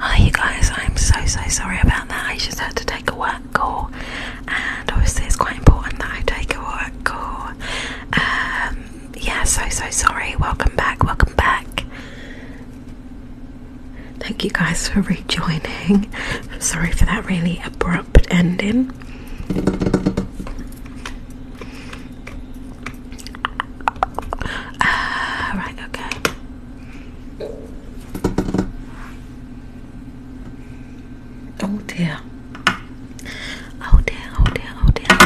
Hi you guys, I'm so so sorry about that. I just had to take a work call and obviously it's quite important that I take a work call. Um, yeah, so so sorry. Welcome back, welcome back. Thank you guys for rejoining. Sorry for that really abrupt ending. Ah, okay. Oh dear. Oh dear, oh dear, oh dear.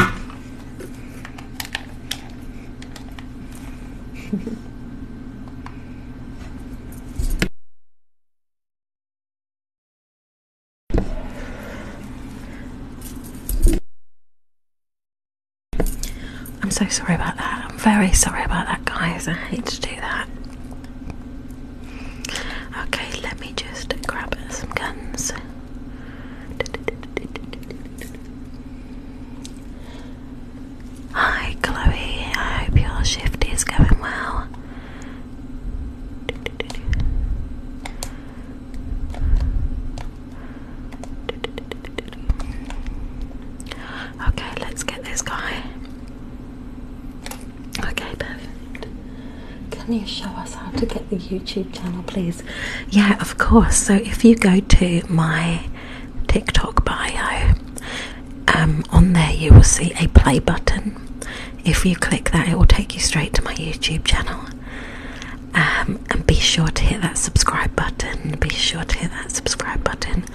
I'm so sorry about that. I'm very sorry about that, guys. I hate to do that. Okay, let me just grab some guns. Hi, Chloe. I hope your shift is going well. Okay, let's get this guy. Okay, perfect. Can you show us how to get the YouTube channel, please? Yeah, of course. So if you go to my TikTok bio, um, on there you will see a play button. If you click that, it will take you straight to my YouTube channel. Um, and be sure to hit that subscribe button. Be sure to hit that subscribe button.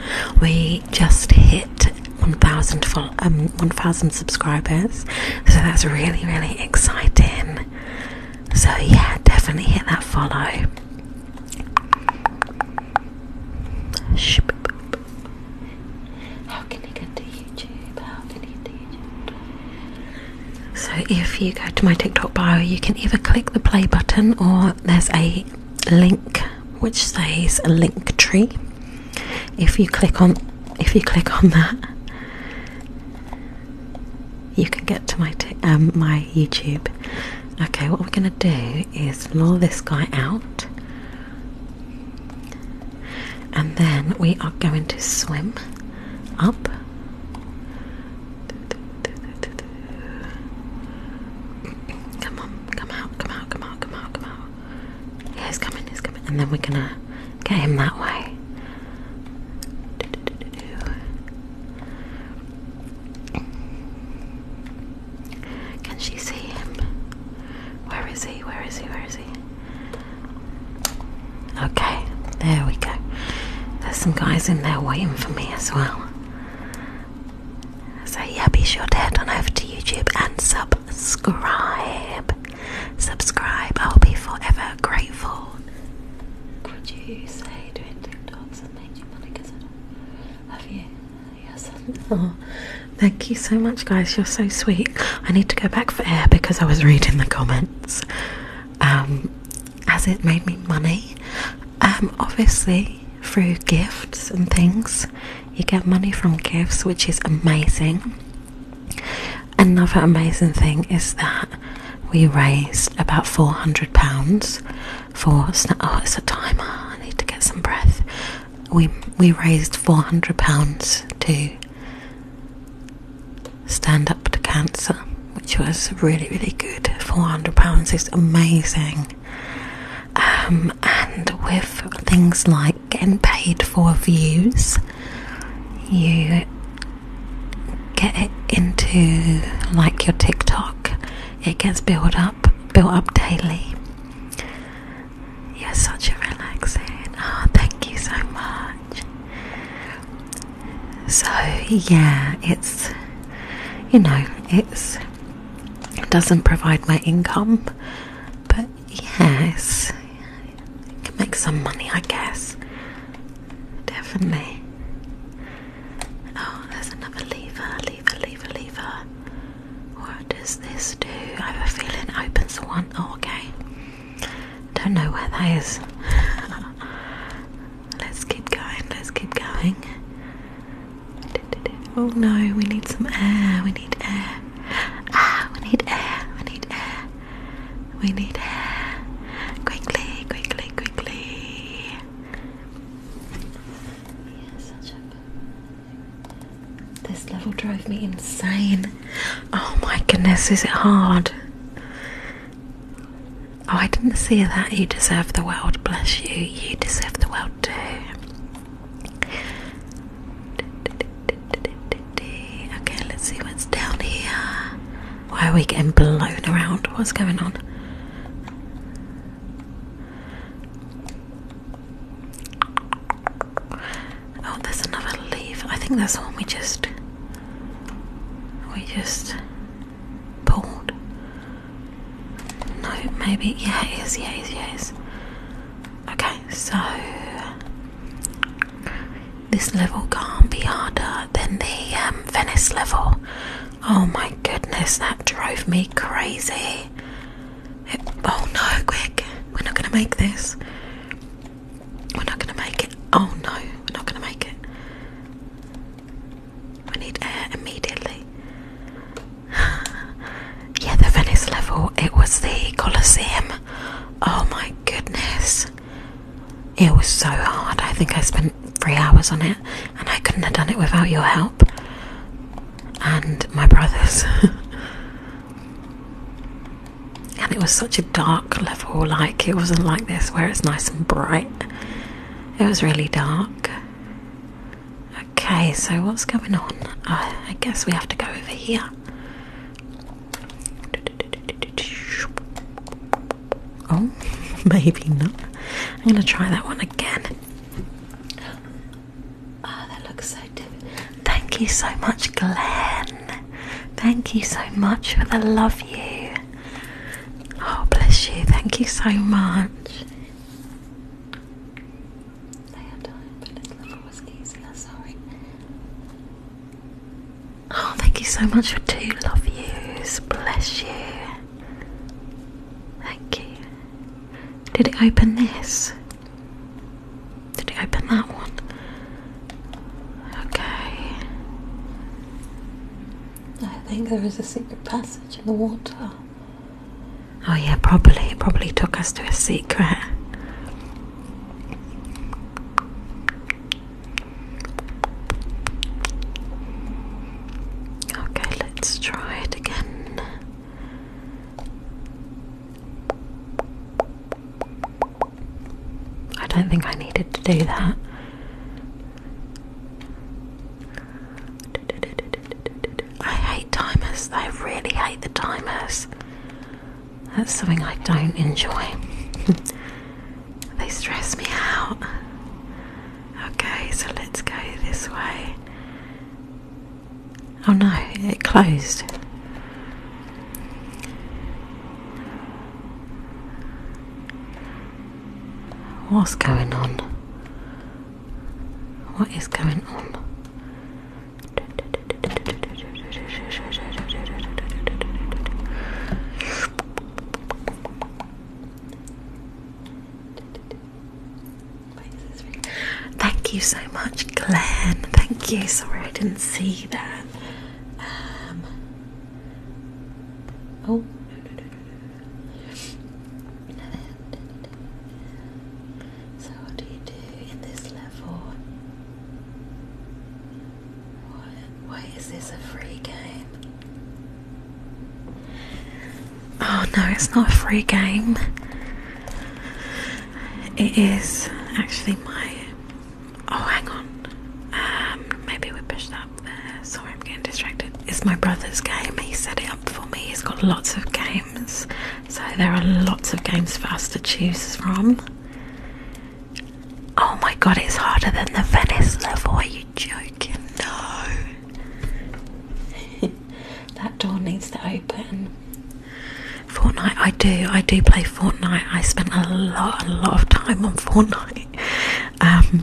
We just hit 1,000 um, 1, subscribers, so that's really, really exciting. So, yeah, definitely hit that follow. So if you go to my TikTok bio, you can either click the play button or there's a link which says link tree. If you click on if you click on that, you can get to my um, my YouTube. Okay, what we're gonna do is lure this guy out, and then we are going to swim up Come on, come out, come out, come out, come out, come out. Yeah, he's coming, he's coming. And then we're gonna get him that way. Can she see him? Where is he? Where is he? Where is he? Okay, there we go. There's some guys in there waiting for me as well. So, yeah, be sure to head on over to YouTube and subscribe. Subscribe, I'll be forever grateful. Could you say doing TikToks and made you money? Because I don't have you. Yes. Oh, thank you so much, guys. You're so sweet. I need to go back for air because I was reading the comments. Um, as it made me money. Um, obviously, through gifts and things, you get money from gifts, which is amazing. Another amazing thing is that we raised about four hundred pounds for. Oh, it's a timer. I need to get some breath. We we raised four hundred pounds to Stand Up to Cancer, which was really, really good. £400 is amazing. Um, and with things like getting paid for views, you get into like your TikTok, it gets built up, built up daily. You're such a relaxing. Oh, thank you so much. So yeah, it's you know, it doesn't provide my income, but yes, it can make some money, I guess. Definitely. Oh, there's another lever, lever, lever, lever. What does this do? I have a feeling it opens the one. Oh, okay. Don't know where that is. Let's keep going, let's keep going. Oh no, we need some air, we need air. Ah, we need air, we need air. We need air. Quickly, quickly, quickly. This level drove me insane. Oh my goodness, is it hard? Oh, I didn't see that. You deserve the world. Bless you. You deserve the world too. Okay, let's see what's down here. Why are we getting blown around? What's going on? Oh, there's another leaf. I think that's what we just. We just Bald. No, maybe. Yeah, yes, yes, yes. Okay, so this level can't be harder than the um, Venice level. Oh my goodness, that drove me crazy. oh no, quick. We're not going to make this. We're not going to make it. Oh no, we're not going to make it. We need air immediately. yeah, the Venice level, it was the Colosseum. Oh my goodness. It was so hard. I think I spent three hours on it, and I couldn't have done it without your help and my brothers. and it was such a dark level, like it wasn't like this where it's nice and bright. It was really dark. Okay, so what's going on? I guess we have to go over here. Oh, maybe not. I'm gonna try that one again. Oh, that looks so different. Thank you so much, Glenn. Thank you so much for the love you. Oh, bless you. Thank you so much. Oh, thank you so much for two love yous. Bless you. Thank you. Did it open this? Did it open that one? Okay. I think there is a secret passage in the water. Oh, yeah, probably. It probably took us to a secret. Okay, let's try it again. I don't think I needed to do that. I hate timers. I really hate the timers. That's something I don't enjoy. they stress me out. Okay, so let's go this way. Oh no, it closed. What's going on? What is going on? Thank you so much, Glenn. Thank you. Sorry, I didn't see that. Um, oh, so what do you do in this level? Why, is this a free game? Oh no, it's not a free game. It is actually my. Oh, hang on. Um, maybe we push that Sorry, I'm getting distracted. It's my brother's game. He set it up for me. He's got lots of games, so there are lots of games for us to choose from. Oh my god, it's harder than the Venice level. Are you joking? No. that door needs to open. Fortnite, I do. I do play Fortnite. I spend a lot, a lot of time on Fortnite. Um,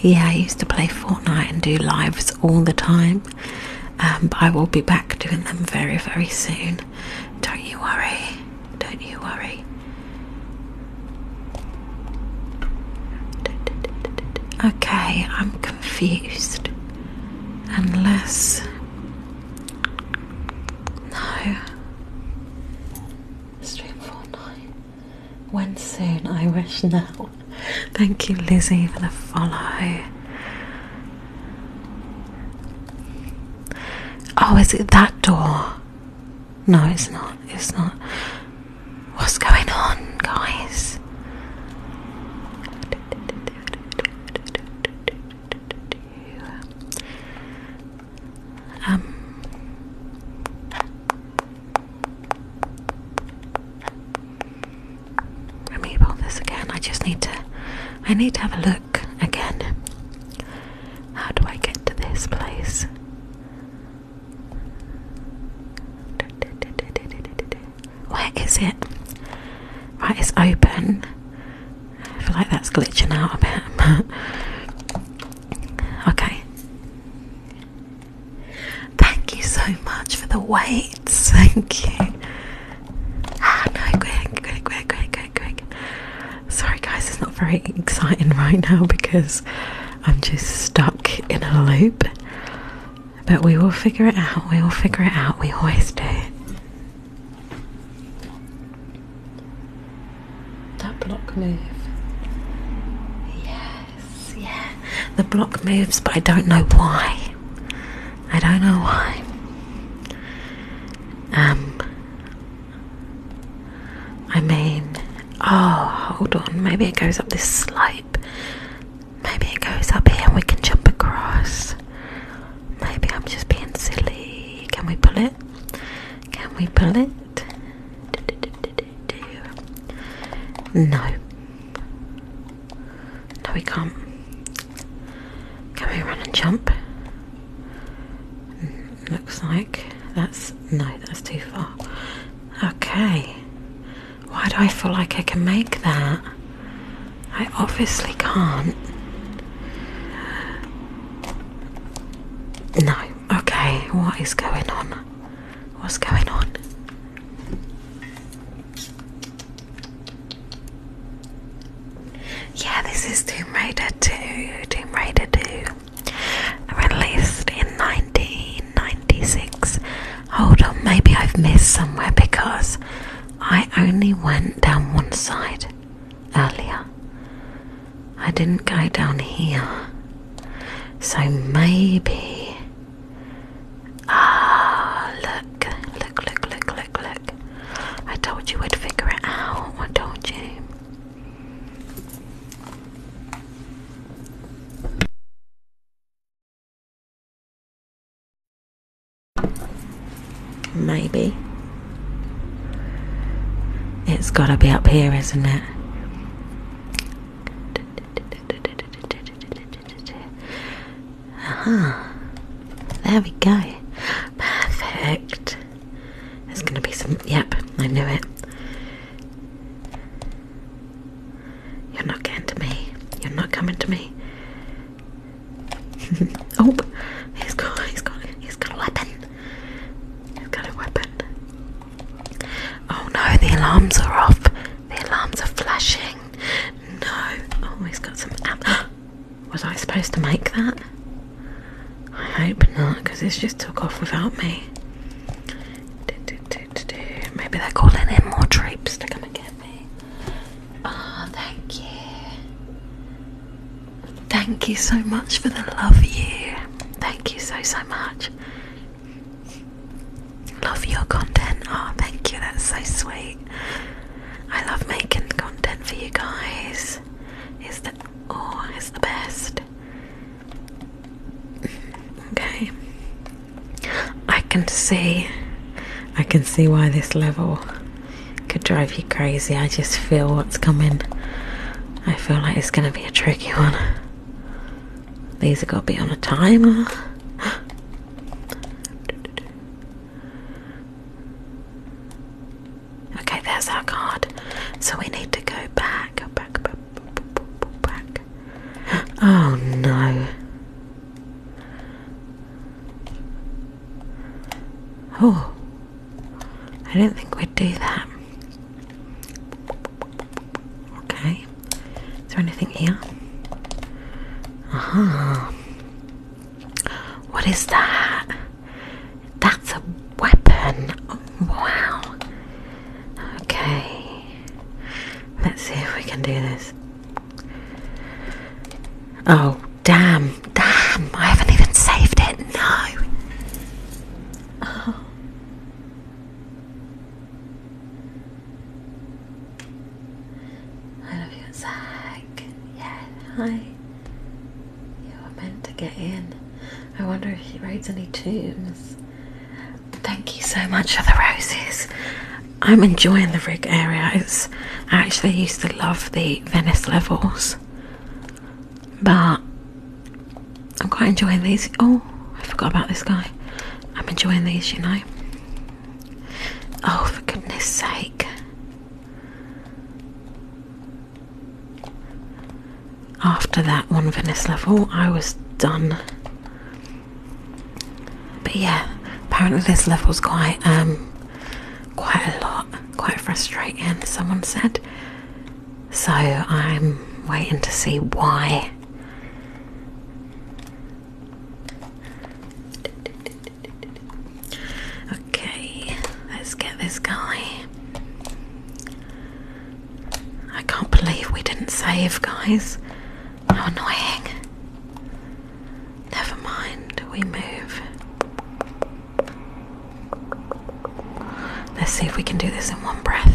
yeah, I used to play Fortnite and do lives all the time, um, I will be back doing them very, very soon. Don't you worry, don't you worry. Okay, I'm confused. Unless no. Stream Fortnite. When soon, I wish now. Thank you, Lizzie, for the follow. Oh, is it that door? No, it's not. It's not. What's going on, guys? Um, let me pull this again. I just need to I need to have a look again. How do I get to this place? Where is it? Right, it's open. I feel like that's glitching out a bit. okay. Thank you so much for the wait. Thank you. Ah, no, quick, quick, quick, quick, quick, quick. Sorry, guys, it's not very exciting right now because I'm just stuck in a loop. But we will figure it out. We will figure it out. We always do. That block move. Yes, yeah. The block moves, but I don't know why. I don't know why. Um, I mean, oh, hold on. Maybe it goes up this slope. Maybe it goes up here and we can jump across. Maybe I'm just being silly. Can we pull it? Can we pull it? No. No, we can't. Can we run and jump? Mm, looks like that's no, that's too far. Okay. Why do I feel like I can make that? I obviously can't. No. Okay, what is going on? What's going on? Yeah, this is Tomb Raider 2. Tomb Raider 2. Released in 1996. Hold on, maybe I've missed somewhere because I only went down one side earlier. I didn't go down here. So maybe. Ah, look, look, look, look, look, look. I told you we'd figure it out. I told you. Maybe. It's gotta be up here, isn't it? Uh -huh. There we go. Perfect. There's gonna be some. Yep, I knew it. You're not getting to me. You're not coming to me. oh, he's got, he's got, he's got a weapon. I've got a weapon. Oh no, the alarms are off. The alarms are flashing. No. Oh, he's got some ammo. Was I supposed to make that? I hope not, because this just took off without me. Maybe they're calling in more troops to come and get me. Ah, thank you. Thank you so much for the love year. Thank you so, so much. Love your content. Oh, thank you. That's so sweet. I love making content for you guys. It's the oh, it's the best. Okay. I can see I can see why this level could drive you crazy. I just feel what's coming. I feel like it's going to be a tricky one. These are going to be on a timer. Okay, there's our card. So we need to go back, back, back, back. Oh no. Oh, I do not think we'd do that. Okay. Is there anything here? Uh -huh. What is that? That's a weapon. wow. Okay. Let's see if we can do this. Oh, Damn, damn, I haven't even saved it. No. Oh. I love you, Zach. Yeah, hi. You were meant to get in. I wonder if he writes any tombs. Thank you so much for the roses. I'm enjoying the rig area. It's, I actually used to love the Venice levels. But I'm quite enjoying these. Oh, I forgot about this guy. I'm enjoying these, you know. Oh, for goodness sake. After that one Venice level, I was done. But yeah, apparently this level's quite um quite a lot, quite frustrating, someone said. So I'm waiting to see why. Okay, let's get this guy. I can't believe we didn't save, guys. How annoying. Never mind, we move. Let's see if we can do this in one breath.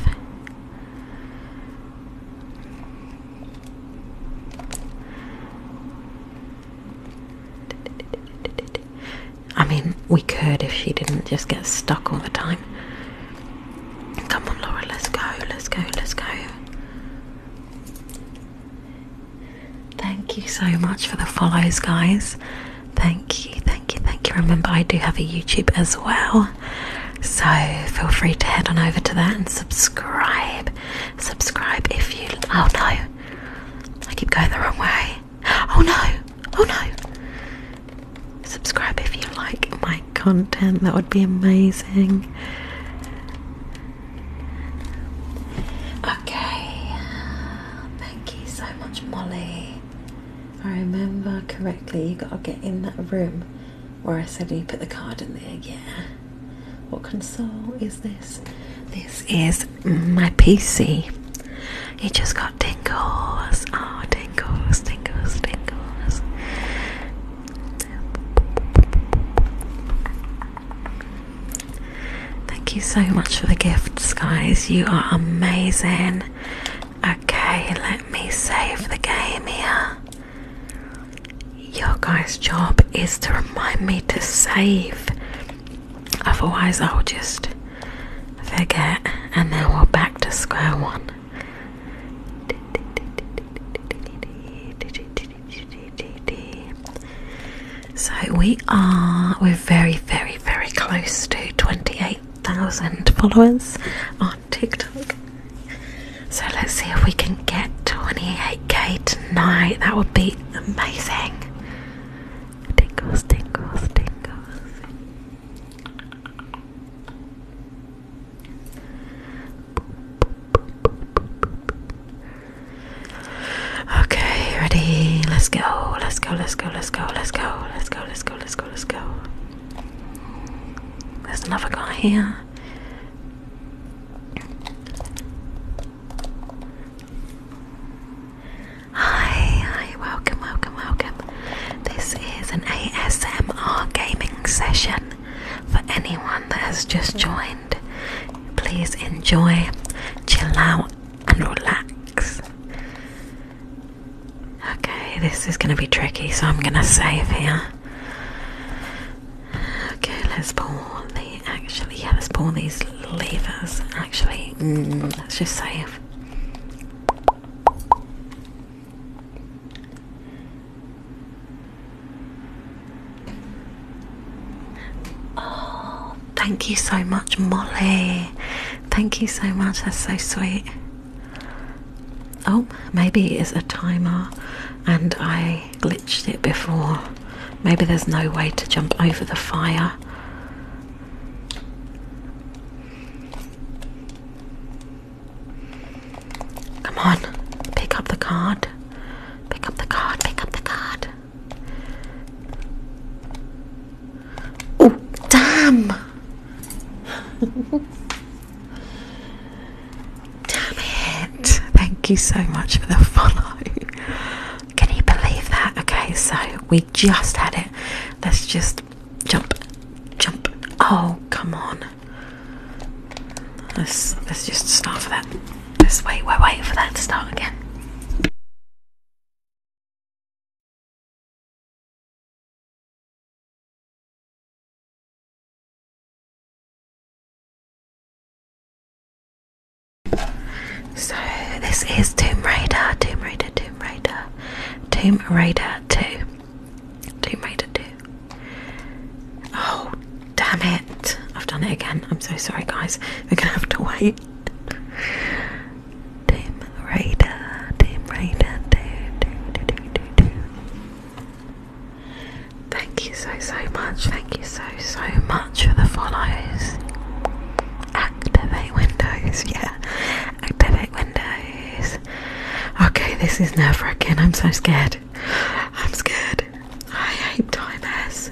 I mean, we could if she didn't just get stuck all the time. Come on, Laura, let's go, let's go, let's go. Thank you so much for the follows, guys. Thank you, thank you, thank you. Remember, I do have a YouTube as well, so feel free to head on over to that and subscribe. Subscribe if you. Oh no, I keep going the wrong way. Oh no, oh no. Subscribe if you like my content, that would be amazing. Okay, Thank you so much, Molly. I remember correctly, you gotta get in that room where I said you put the card in there, yeah. What console is this? This is my PC. It just got tingles. Oh, tingles, tingles, tingles. Thank you so much for the gifts, guys. You are amazing. Okay, let me save the game here. Your guys' job is to remind me to save, otherwise, I'll just forget and then we're back to square one. So we are we're very very very close to 28,000 followers on TikTok. So let's see if we can get 28k tonight. That would be amazing. Tingles, tingles, tingles. Okay, ready? Let's go. Let's go. Let's go. Let's go. Let's go. Let's go. Let's go. Let's go. Let's go. There's another guy here. Hi, hi, welcome, welcome, welcome. This is an ASMR gaming session for anyone that has just joined. Please enjoy, chill out, and relax. Okay, this is going to be tricky, so I'm going to save here. Okay, let's pull these. actually, yeah, let's pull these levers. Actually, mm, let's just save. Oh, Thank you so much, Molly. Thank you so much, that's so sweet. Oh, maybe it's a timer and I glitched it before. Maybe there's no way to jump over the fire. Come on, pick up the card. Pick up the card, pick up the card. Oh, damn! damn it! Thank you so much for the follow. Can you believe that? Okay, so we just had it. Let's just jump, jump. Oh, come on. Let's let's just start for that. Let's wait, are waiting for that to start again. So this is Tomb Raider, Tomb Raider, Tomb Raider, Tomb Raider 2. Tomb Raider 2. Oh, damn it. I've done it again. I'm so sorry, guys. We're going to have to wait. Team Raider, Team Raider, do, do, do, do, do, Thank you so, so much. Thank you so, so much for the follows. Activate Windows, yeah. Activate Windows. Okay, this is nerve wracking. I'm so scared. I'm scared. I hate Time S.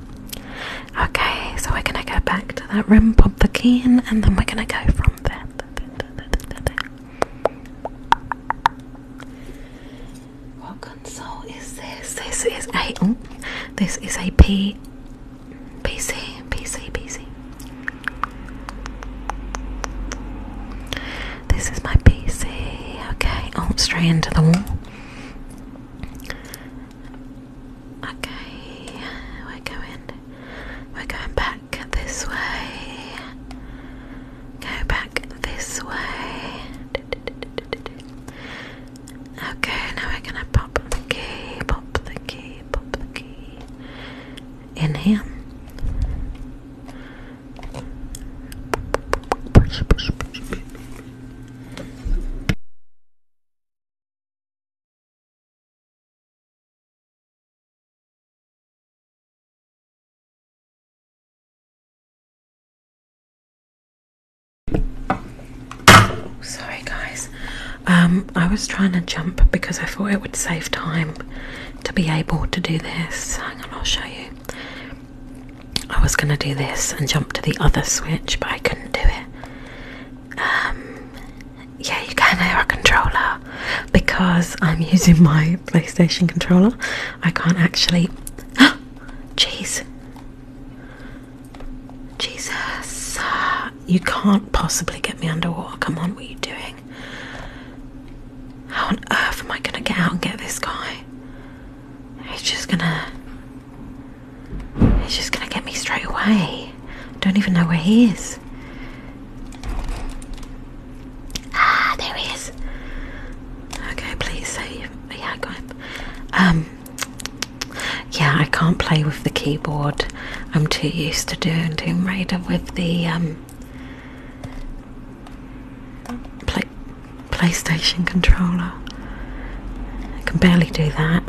Okay, so we're gonna go back to that room, pop the key in, and then we're gonna go from there. What console is this? This is a oh, this is a P PC PC PC. This is my PC. Okay, oh straight into the wall. Okay, we're going we're going back this way. Go back this way. Okay, now we're gonna pop the key, pop the key, pop the key in sorry guys um, I was trying to jump because I thought it would save time to be able to do this hang on I'll show you I was going to do this and jump to the other switch, but I couldn't do it. Um, yeah, you can not have a controller because I'm using my PlayStation controller. I can't actually. Jeez. Jesus. You can't possibly get me underwater. Come on, what are you doing? How on earth am I going to get out and get this guy? He's just gonna. He's just gonna get me straight away. Don't even know where he is. Ah, there he is. Okay, please save. Yeah, I got Um. Yeah, I can't play with the keyboard. I'm too used to doing Tomb Raider with the um. Play PlayStation controller. I can barely do that.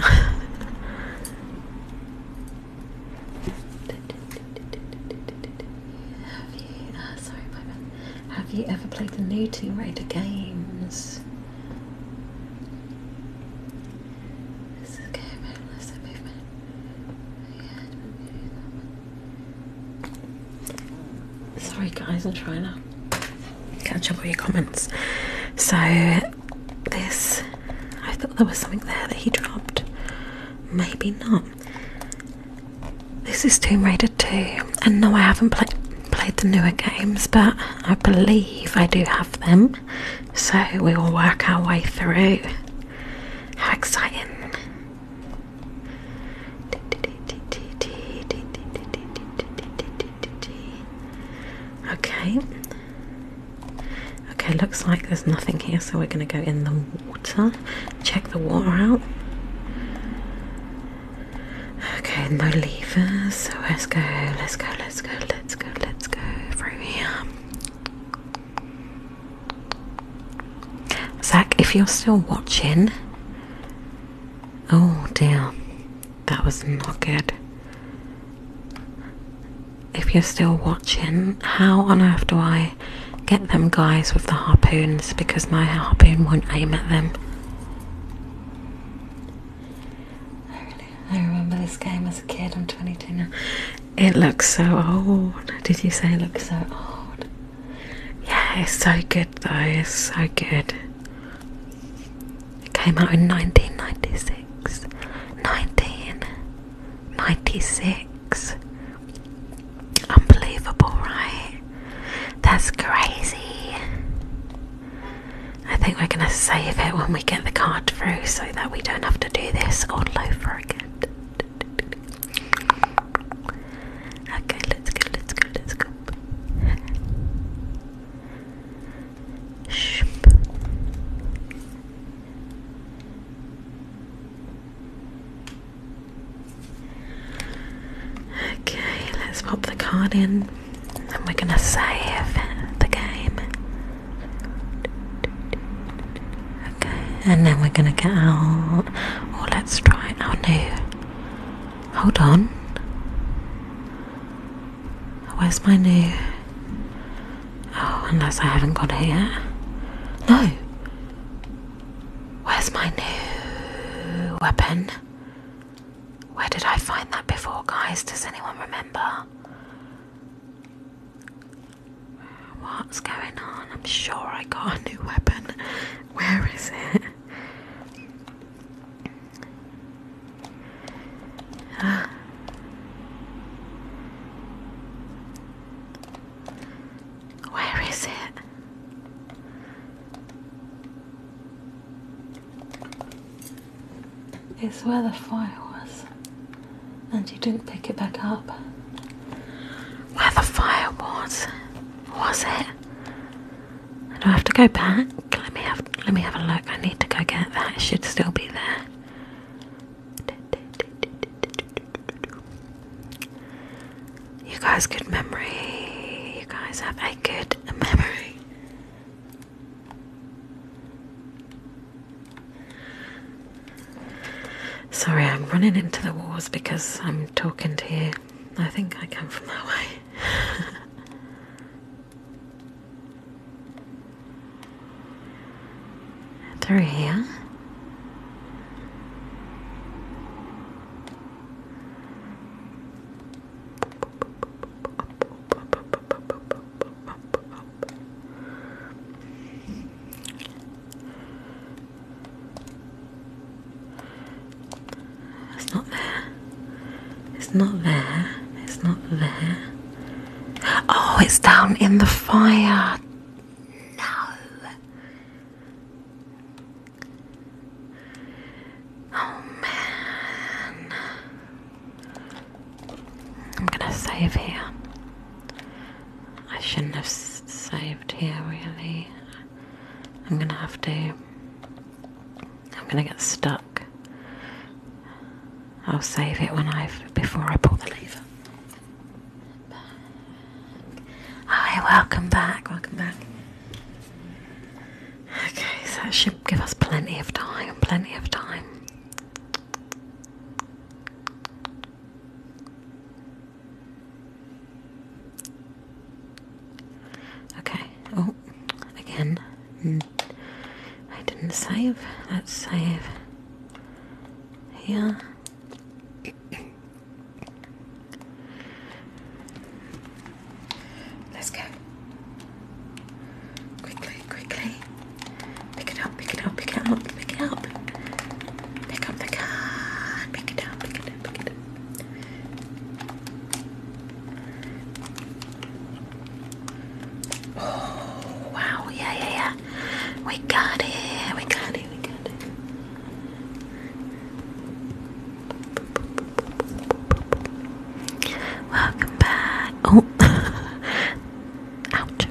Have you? sorry, my Have you ever played the new Tomb Raider games? Sorry, guys, I'm trying to catch up with your comments. So, this, I thought there was something there that he dropped. Maybe not. This is Tomb Raider 2, and no, I haven't played played the newer games, but I believe I do have them. So we will work our way through. How exciting! Okay. Okay, looks like there's nothing here, so we're going to go in the water, check the water out. Okay, no levers, so let's go, let's go, let's go, let's go, let's go through here. Zach, if you're still watching, Oh, damn. That was not good. If you're still watching, how on earth do I get them guys with the harpoons? Because my harpoon won't aim at them. I, remember this game as a kid. I'm 22 now. It looks so old. Did you say it looks so old? Yeah, it's so good though. It's so good. It came out in 1996. 1996. Unbelievable, right? That's crazy. I think we're going to save it when we get the card through so that we don't have to do this all over again. Okay, let's go, let's go, let's go. Shh. Okay, let's pop the card in and we're gonna save the game. Okay, and then we're gonna get out. Or oh, let's try our new Hold on. Where's my new. Oh, unless I haven't got it yet. No! Where's my new weapon? Where did I find that before, guys? Does anyone remember? What's going on? I'm sure I got a new weapon. Where is it? Where is it? It's where the fire was, and you didn't pick it back up. Where the fire was? Was it? I Do not have to go back? Let me have let me have a look. I need to go get that. It should still be there. You guys good memory. You guys have a good memory. Sorry, I'm running into the walls because I'm talking to you. I think I come from that way. Through here. It's not there. It's not there. It's not there. Oh, it's down in the fire. No. Oh man. I'm gonna save here. I shouldn't have saved here, really. I'm gonna have to. I'm gonna get stuck. I'll save it when I've before I pull the lever. Hi, welcome back, welcome back. Okay, so that should give us plenty of time, plenty of time. Okay. Oh, again. Hmm. I didn't save. Let's save Yeah. Let's go. Quickly, quickly. Pick it up, pick it up, pick it up, pick it up. Pick up the card, pick it up, pick it Oh, wow, yeah, yeah, yeah. We got it, we got it, we got it. Welcome back. Oh, ouch.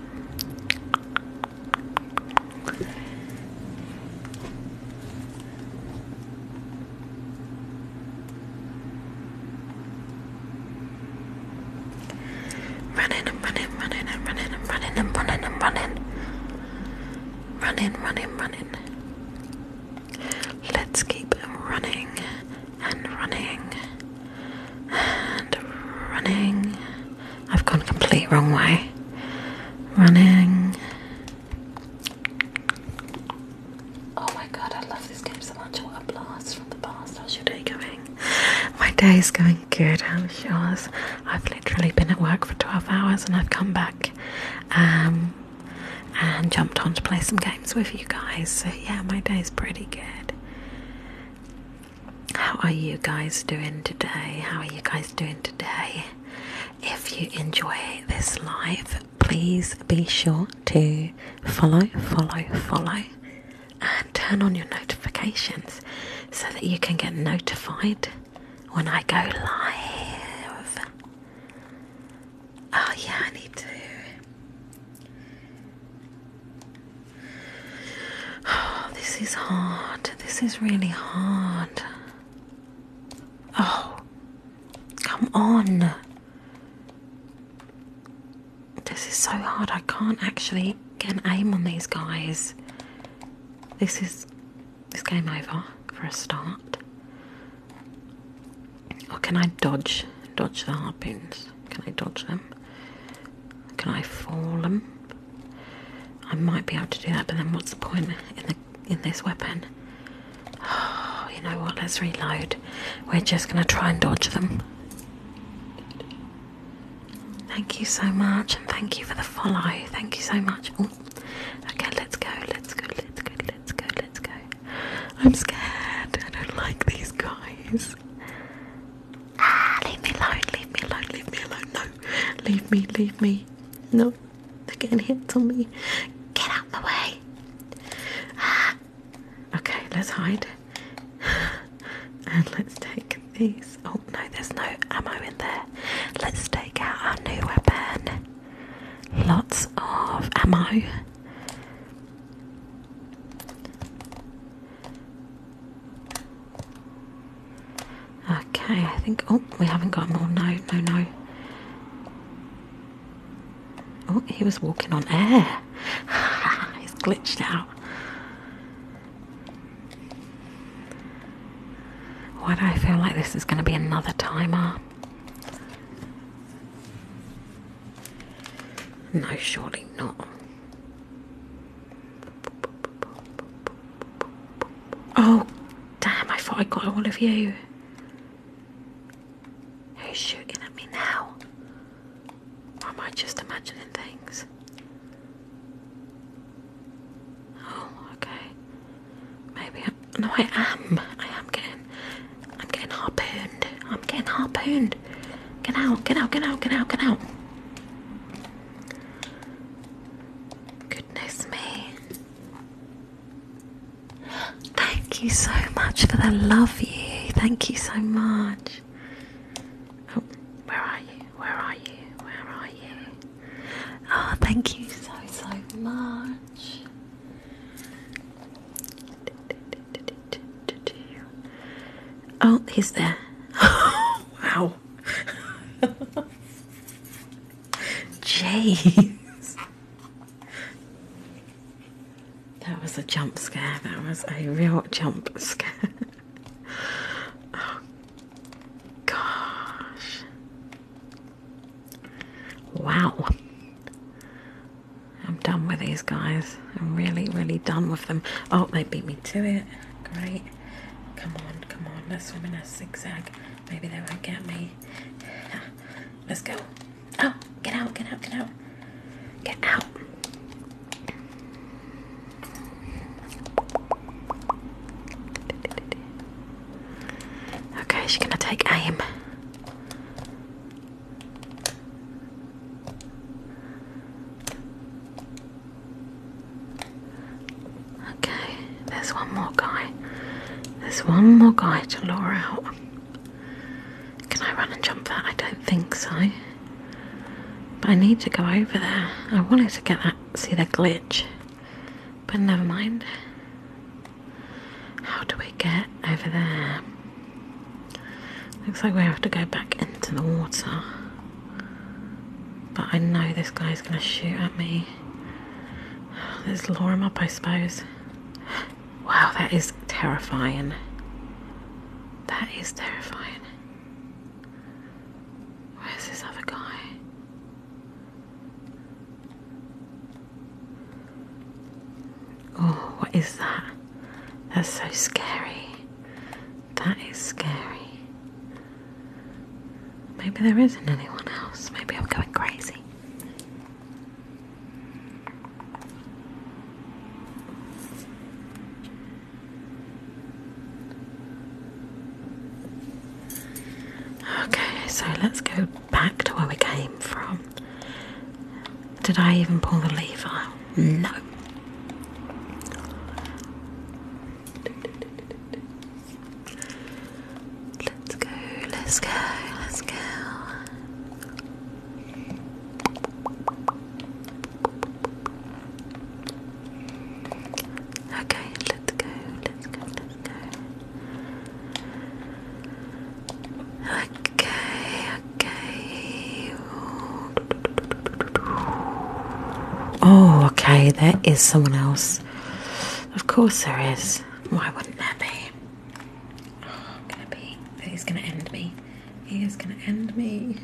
Running and running, running and running and running and running and running. Running, running, running. Let's keep running and running and running. I've gone complete wrong way. Running. Oh my god, I love this game so much. What a blast from the past. How's your day going? My day is going good. I'm sure. I've literally been at work for 12 hours and I've come back um, and jumped on to play some games with you guys. So, yeah, my day is pretty good. How are you guys doing today? How are you guys doing today? If you enjoy this live, please be sure to follow, follow, follow, and turn on your notifications so that you can get notified when I go live. Oh, yeah, I need to. Oh, this is hard. This is really hard. Oh, Come on. This is so hard. I can't actually get an aim on these guys. This is this game over for a start. Or oh, can I dodge dodge the harpoons? Can I dodge them? Can I fall them? I might be able to do that, but then what's the point in the in this weapon. Oh, you know what? Let's reload. We're just going to try and dodge them. Thank you so much, and thank you for the follow. Thank you so much. Okay, let's go, let's go, let's go, let's go, let's go. I'm scared. I don't like these guys. Ah, leave me alone, leave me alone, leave me alone. No, leave me, leave me. No. They are getting hits on me. Get out the way. Ah. Okay, let's hide. And let's take these. Oh no, there's no ammo in there. Let's take out our new weapon. Lots of ammo. Okay, I think. Oh, we haven't got more. No, no, no. Oh, he was walking on air. He's glitched out. Why do I feel like this is going to be another timer? No, surely not. Oh, damn, I thought I got all of you. Are shooting at me now? am I just imagining things? Oh, okay. Maybe I'm no I am. I am getting I'm getting harpooned. I'm getting harpooned. Get out, get out, get out, get out, get out. Goodness me. Thank you so much for the love you. Thank you so much. Oh, where are you? Where are you? Where are you? Oh, thank you so, so much. Oh, he's there. wow. Jeez. That was a jump scare. That was a real jump scare. Oh, gosh. Wow. I'm done with these guys. I'm really, really done with them. Oh, they beat me to it. Great. Come on, come on. Let's swim a zigzag. Maybe they won't get me. Let's go. Oh, get out, get out, get out. Get out. Okay, she's gonna take aim. Okay. There's one more guy. There's one more guy to lure out. Can I run and jump that? I don't think so. But I need to go over there. I wanted to get that, see the glitch. But never mind. How do we get over there? Looks like we have to go back into the water. But I know this guy's gonna shoot at me. Let's lure him up, I suppose. Wow, that is terrifying. That is terrifying. Where's this other guy? Oh, what is that? That's so scary. That is scary. Maybe there isn't anyone else. Maybe I'm going crazy. Okay, so let's go back to where we came from. Did I even pull the lever? No. Let's go, let's go, let's go. Okay, let's go, let's go, let's go. Okay, okay. Oh, okay, there is someone else. Of course there is. Why wouldn't there be? He's gonna end me. He's gonna end me.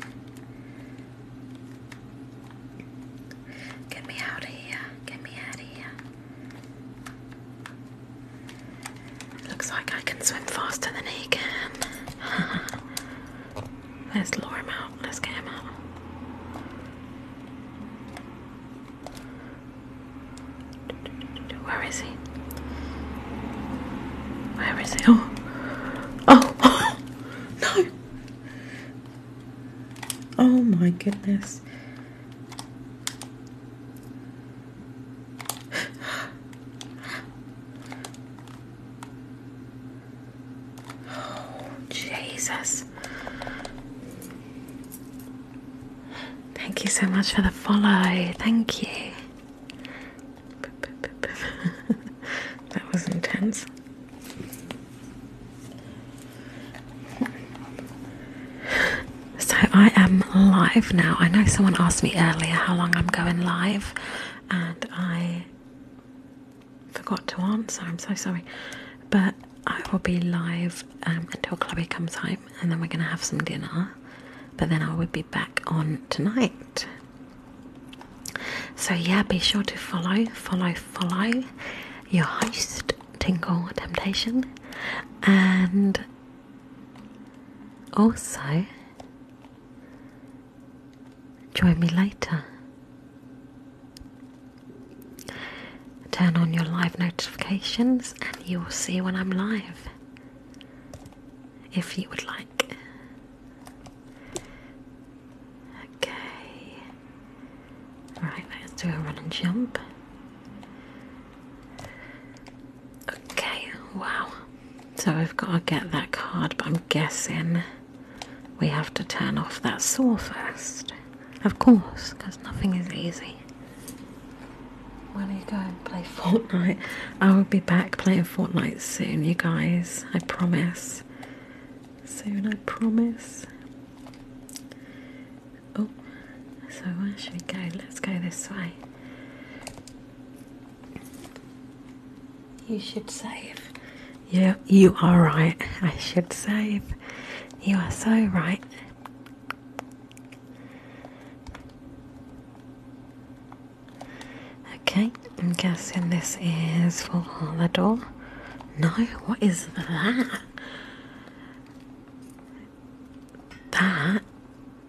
Get me out of here. Get me out of here. Looks like I can swim faster than he can. Let's lure him out. Let's get him out. Where is he? Where is he? Oh. Oh. no. Oh my goodness. Oh, Jesus. Thank you so much for the follow. Thank you. that was intense. So I am live now. I know someone asked me earlier how long I'm going live, and I forgot to answer. I'm so sorry. But I will be live um, until Chloe comes home, and then we're going to have some dinner. But then I will be back on tonight. So yeah, be sure to follow, follow, follow your host, Tingle Temptation, and also join me later. Turn on your live notifications and you will see when I'm live. If you would like. Okay. Right, let's do a run and jump. Okay, wow. So we've got to get that card, but I'm guessing we have to turn off that saw first. Of course, because nothing is easy. When you go and play Fortnite, I will be back playing Fortnite soon, you guys. I promise. Soon, I promise. Oh, so where should we go? Let's go this way. You should save. Yeah, you are right. I should save. You are so right. Okay, I'm guessing this is for the door. No, what is that? That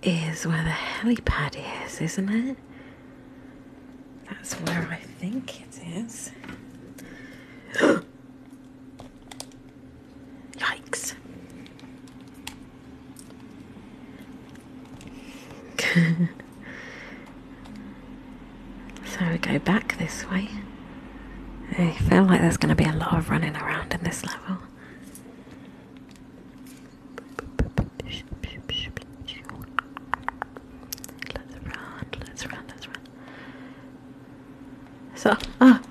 is where the helipad is, isn't it? That's where I think it is. Yikes. so we go back this way. I feel like there's going to be a lot of running around in this level. Let's run, let's run, let's run. So, ah.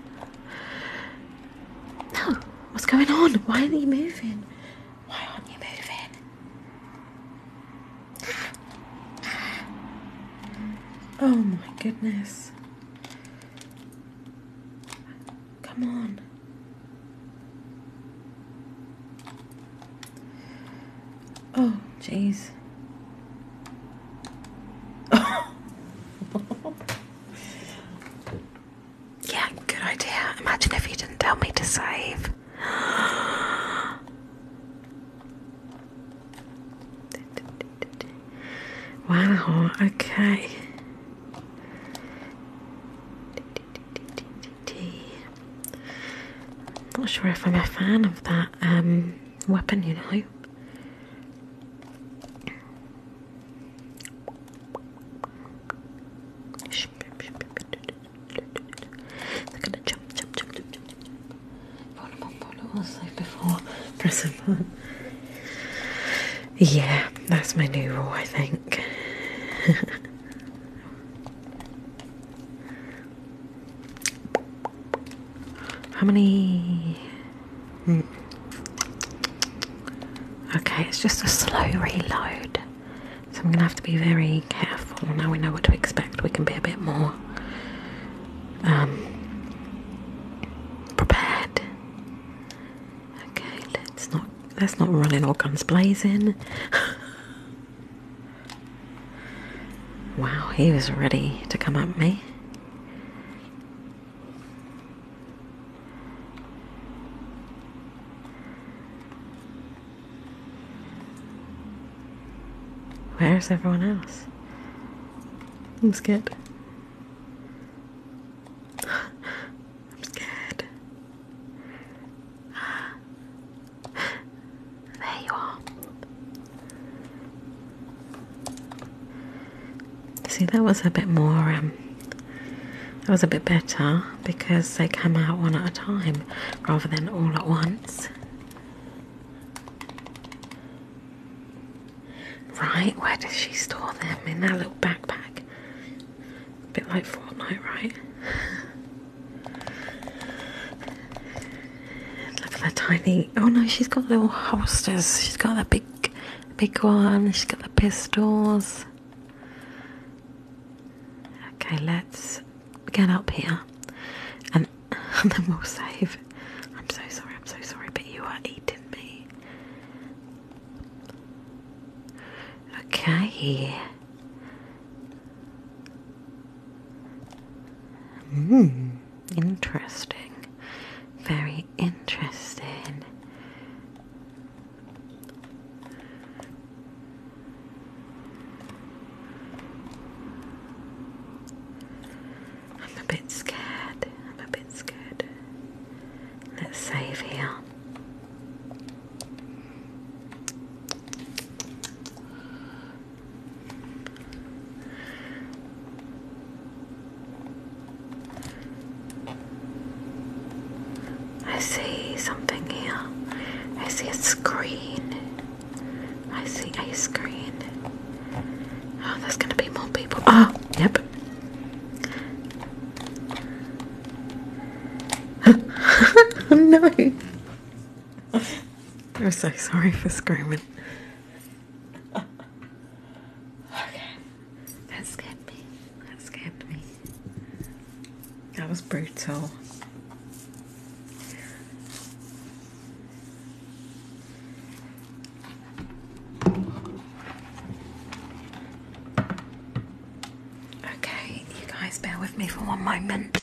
No, what's going on? Why aren't you moving? Why aren't you moving? Oh my goodness. Come on. Oh, jeez. Yeah, good idea. Imagine if you didn't tell me to save. Wow, okay. not sure if I'm a fan of that um weapon, you know. They're gonna jump, jump, jump, before. Yeah, that's my new rule, I think. How many? Hmm. Okay, it's just a slow reload. So I'm going to have to be very careful. Now we know what to expect, we can be a bit more um, prepared. Okay, let's not let's not run in all guns blazing. wow, he was ready to come at me. Where's everyone else? I'm scared. I'm scared. There you are. See, that was a bit more, um, that was a bit better because they come out one at a time rather than all at once. Right, where does she store them? In that little backpack. A bit like Fortnite, right? Look at that tiny. Oh no, she's got little holsters. She's got that big Big one, she's got the pistols. Okay, let's get up here and, then we'll save. I'm so sorry, I'm so sorry, but you are eating me. Okay. Mmm. Interesting. Very interesting. I'm a bit scared. I'm a bit scared. Let's save here. I see something here. I see a screen. I see a screen. Oh, there's gonna be more people. Oh, yep. Oh, no. I'm so sorry for screaming okay. That scared me. That scared me. That was brutal. Okay, you guys bear with me for one moment.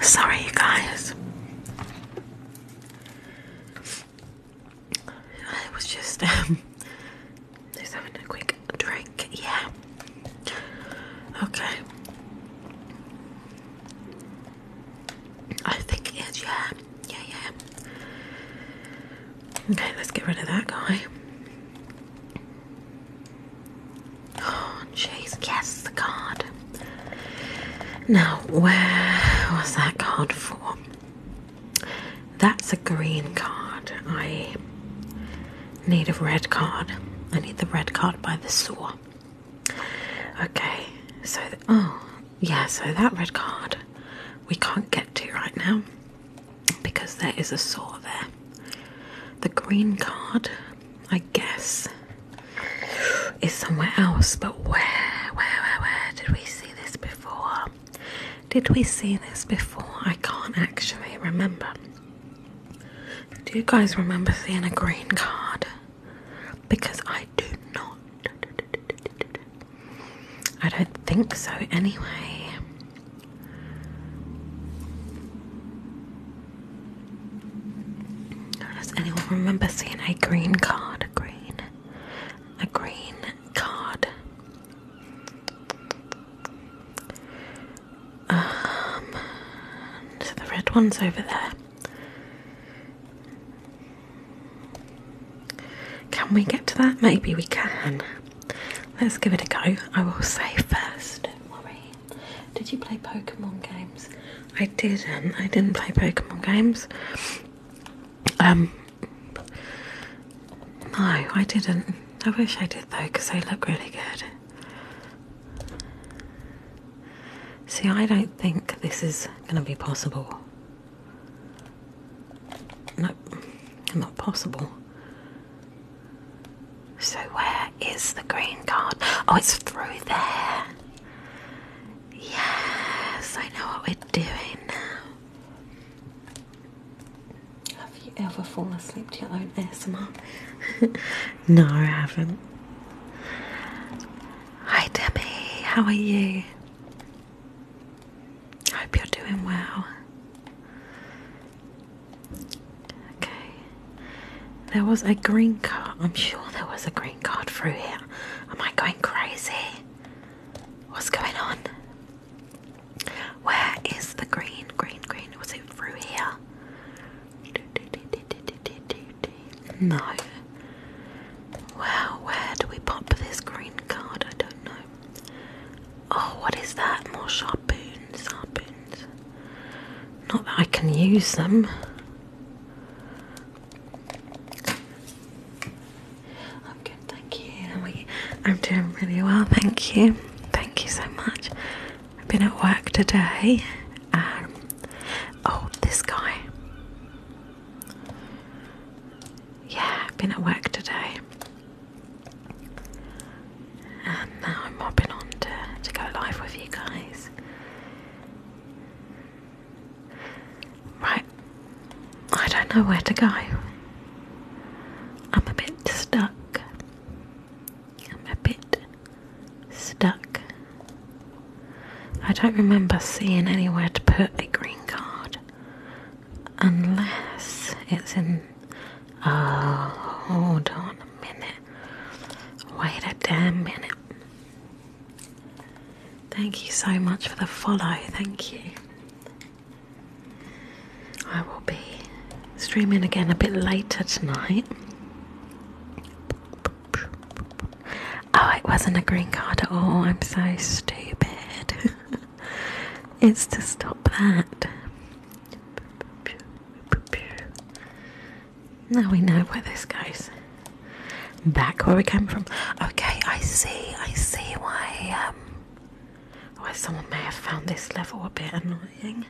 Sorry, you guys. I was just um, just having a quick drink, yeah. Okay. I think it is, yeah. Yeah, yeah. Okay, let's get rid of that guy. Oh, jeez. Yes, the card. Now, where was that card for? That's a green card. I need a red card. I need the red card by the saw. Okay, so, oh, yeah, so that red card we can't get to right now because there is a saw there. The green card, I guess, is somewhere else, but where, where, where, where did we see this before? Did we see this before? I can't actually remember. Do you guys remember seeing a green card? Because I do not. I don't think so, anyway. Does anyone remember seeing a green card? A green, a green card. Um, so the red one's over there. Can we get to that? Maybe we can. Let's give it a go. I will say first, don't worry. Did you play Pokemon games? I didn't. I didn't play Pokemon games. Um, no, I didn't. I wish I did though, because they look really good. See, I don't think this is going to be possible. No, not possible. So, where is the green card? Oh, it's through there. Yes, I know what we're doing now. Have you ever fallen asleep to your own ASMR? no, I haven't. Hi Debbie, how are you? I hope you're doing well. Okay. There was a green card. I'm sure there was a green card through here. Am I going crazy? What's going on? Where is the green? Green, green. Was it through here? No. Well, where do we pop this green card? I don't know. Oh, what is that? More sharpoons, harpoons. Not that I can use them. I'm good, thank you. I'm doing really well, thank you. Thank you so much. I've been at work today. Um, oh, this guy. Yeah, I've been at work today. And now I'm mopping on to, to go live with you guys. Right, I don't know where to go. I'm a bit stuck I'm a bit stuck. I don't remember seeing anywhere to put a green card unless it's in. Oh, hold on a minute. Wait a damn minute. Thank you so much for the follow. Thank you. I will be streaming again a bit later tonight. Oh, it wasn't a green card at all. I'm so stupid. it's to stop that. Now we know where this goes. Back where we came from. Okay, I see. I see why. Um, why someone may have found this level a bit annoying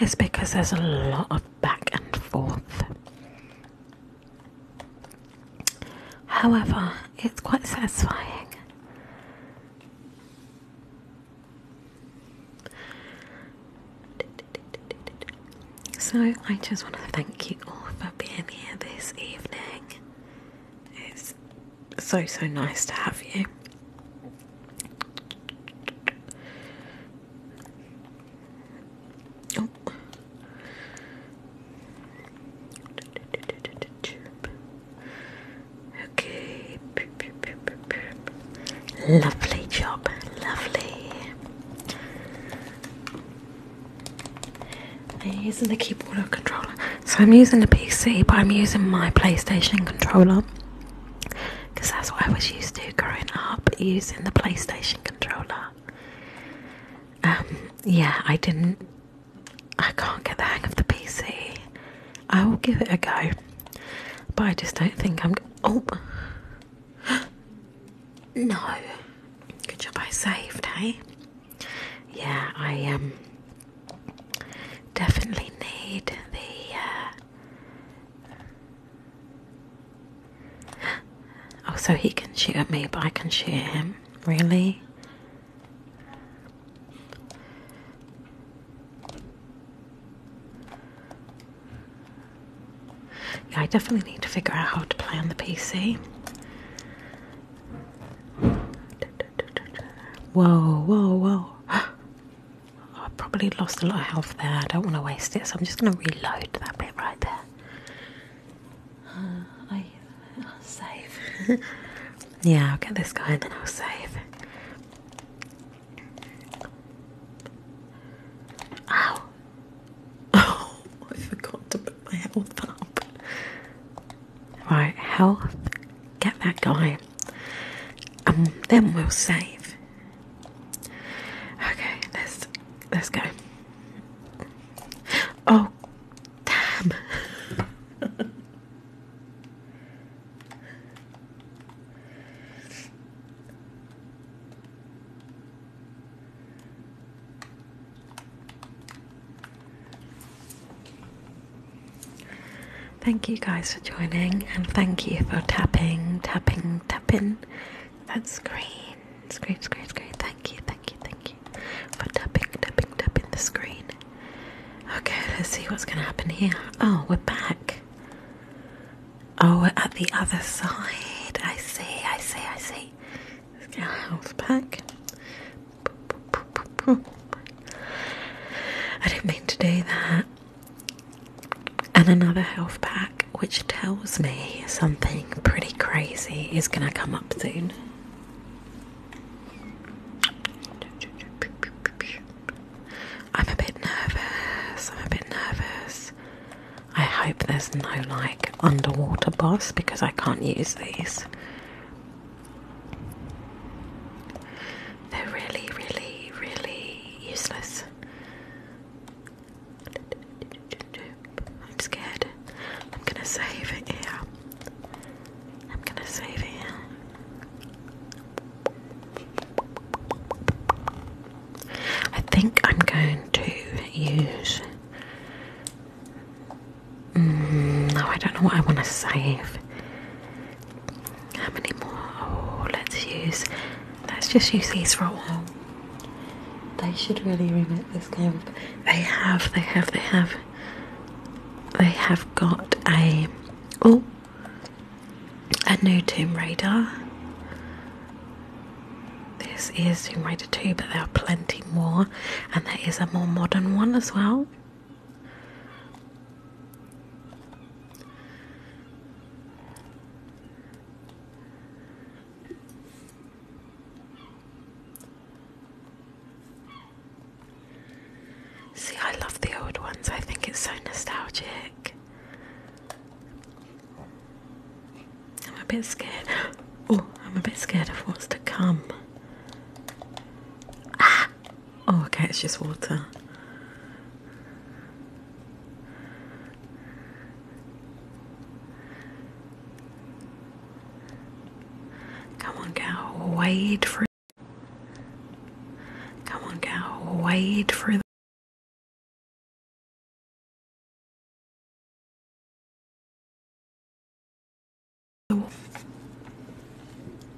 is because there's a lot of back and forth. However, it's quite satisfying. So, I just want to thank you all for being here this evening. It's so, so nice to have you. Oh. Okay. Lovely job, lovely. I'm the keyboard controller. So I'm using the PC, but I'm using my PlayStation controller because that's what I was used to growing up using the PlayStation controller. Um, yeah, I didn't, I can't get the hang of the PC. I will give it a go, but I just don't think I'm. Oh, no, good job I saved, hey. Yeah, I um, Definitely need the. Uh... Oh, so he can shoot at me, but I can shoot him. Really? Yeah, I definitely need to figure out how to play on the PC. Whoa, whoa, whoa. I probably lost a lot of health there. I don't want to waste it, so I'm just going to reload that bit right there. Uh, I, will save. yeah, I'll get this guy and then I'll save. Ow! Oh, I forgot to put my health up. Right, health, get that going, and um, then we'll save. Okay, let's let's go. Oh, damn. Thank you guys for joining and thank you for tapping, tapping, tapping that screen. Screen, screen, screen. Thank you, thank you, thank you for tapping, tapping, tapping the screen. Okay, let's see what's going to happen here. Oh, we're back. Oh, we're at the other side. I see, I see, I see. Let's get our back. I do not mean to do that. And another health pack, which tells me something pretty crazy is going to come up soon. I'm a bit nervous. I'm a bit nervous. I hope there's no like underwater boss because I can't use these. They're really, really, really useless. I'm scared. I'm gonna save it here. I'm gonna save it here. I think I'm going to use. Mm, no, I don't know what I want to save. How many more? Oh, let's use. Let's just use these for a They should really remake this game. They have. They have. They have. They have got a oh a new Tomb Raider. This is Tomb Raider 2, but there are plenty more, and there is a more modern one as well. See, I love the old ones, I think it's so nostalgic. I'm a bit scared. Oh, I'm a bit scared of what's to come. Ah! Oh, okay, it's just water. Come on, go wade through. Come on, go wade through.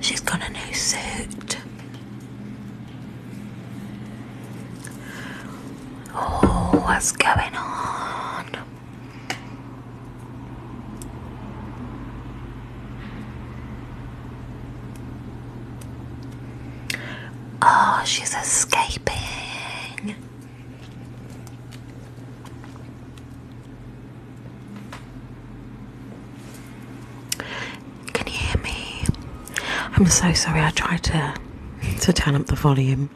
She's got a new suit. Oh, what's going on? Oh, she's escaping. Can you hear me? I'm so sorry. I tried to to turn up the volume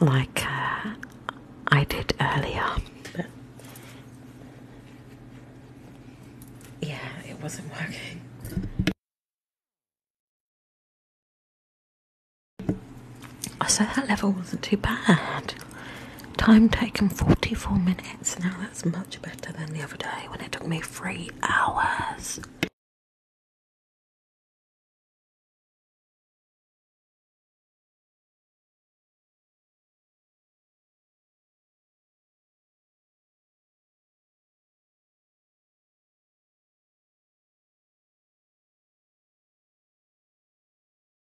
like uh, I did earlier, yeah, it wasn't working. I So that level wasn't too bad. Time taken 44 minutes. Now that's much better than the other day when it took me three hours.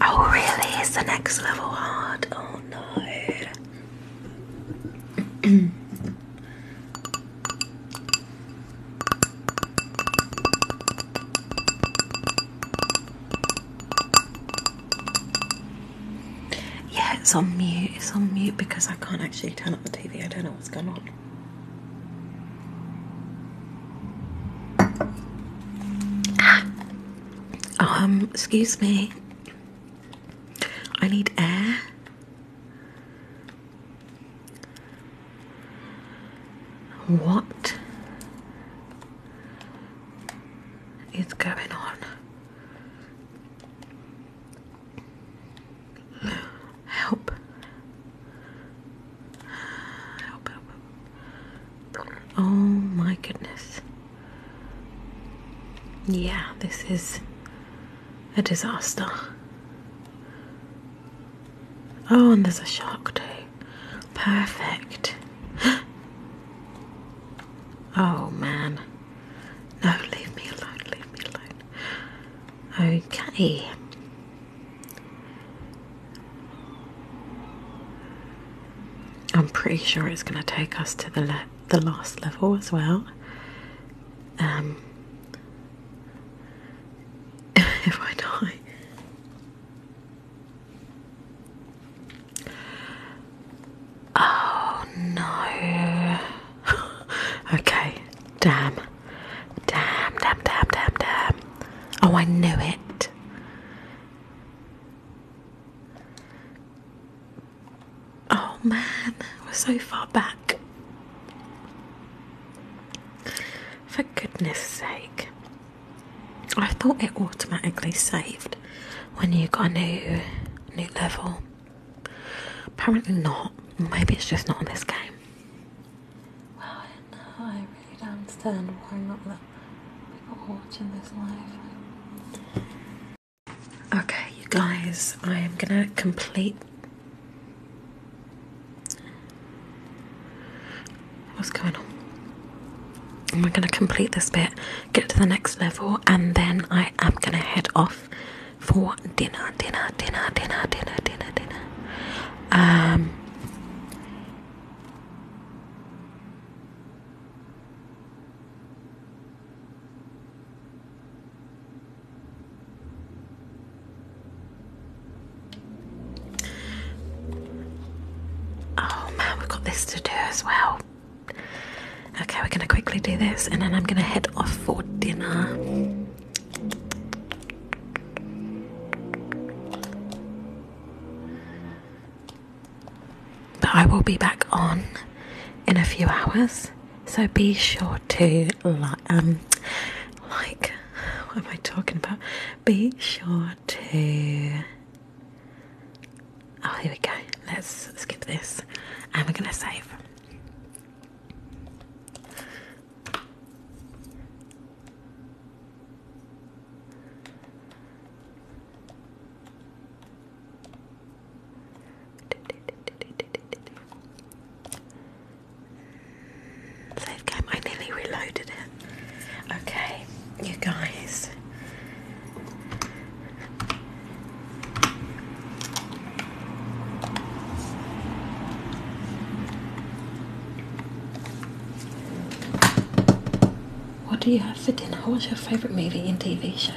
Oh, really? It's the next level hard. Oh no. yeah, it's on mute. It's on mute because I can't actually turn up the TV. I don't know what's going on. Ah. Um, excuse me. I need air. What is going on? Help. Oh my goodness. Yeah, this is a disaster. Oh, and there's a shark too. Perfect. oh man. No, leave me alone, leave me alone. Okay. I'm pretty sure it's going to take us to the the last level as well. Um, if I die. Oh no. okay. Damn. Damn, damn, damn, damn, damn. Oh, I knew it. Oh man, we're so far back. For goodness sake. I thought it automatically saved when you got a new new level. Apparently not. Maybe it's just not on this game right now. I really don't understand why not let people watching this live. Okay, you guys, I am gonna complete. What's going on? And we're gonna complete this bit, get to the next level, and then I am gonna head off for dinner, dinner, dinner, dinner, dinner, dinner, dinner. Um, Oh man, we've got this to do as well. Okay, we're going to quickly do this and then I'm going to head off for dinner. But I will be back on in a few hours, so be sure to like. Um, like, what am I talking about? Be sure to. Oh, here we go. Let's skip this, and we're gonna save. Save game, I nearly reloaded it. Okay, you guys. What do you have for dinner? What's your favorite movie and TV show?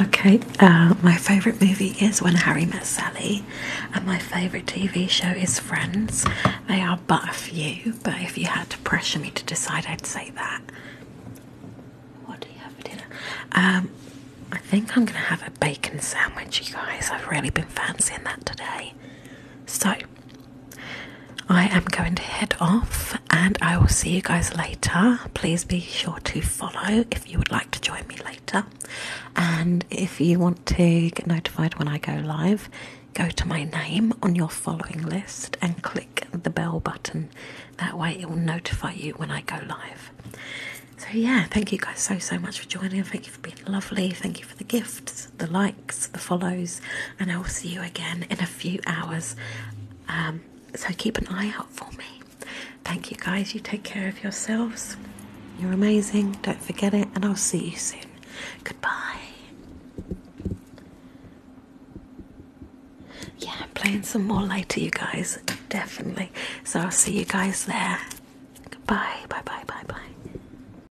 Okay, uh, my favorite movie is When Harry Met Sally, and my favorite TV show is Friends. They are but a few, but if you had to pressure me to decide, I'd say that. What do you have for dinner? Um, I think I'm gonna have a bacon sandwich, you guys. I've really been fancying that today. So I am going to head off and I will see you guys later. Please be sure to follow if you would like to join me later. And if you want to get notified when I go live, go to my name on your following list and click the bell button. That way, it will notify you when I go live. So, yeah, thank you guys so, so much for joining. Thank you been lovely. Thank you for the gifts, the likes, the follows, and I will see you again in a few hours. Um, so keep an eye out for me. Thank you guys. You take care of yourselves. You're amazing. Don't forget it, and I'll see you soon. Goodbye. Yeah, I'm playing some more later, you guys. Definitely. So I'll see you guys there. Goodbye. Bye bye bye bye.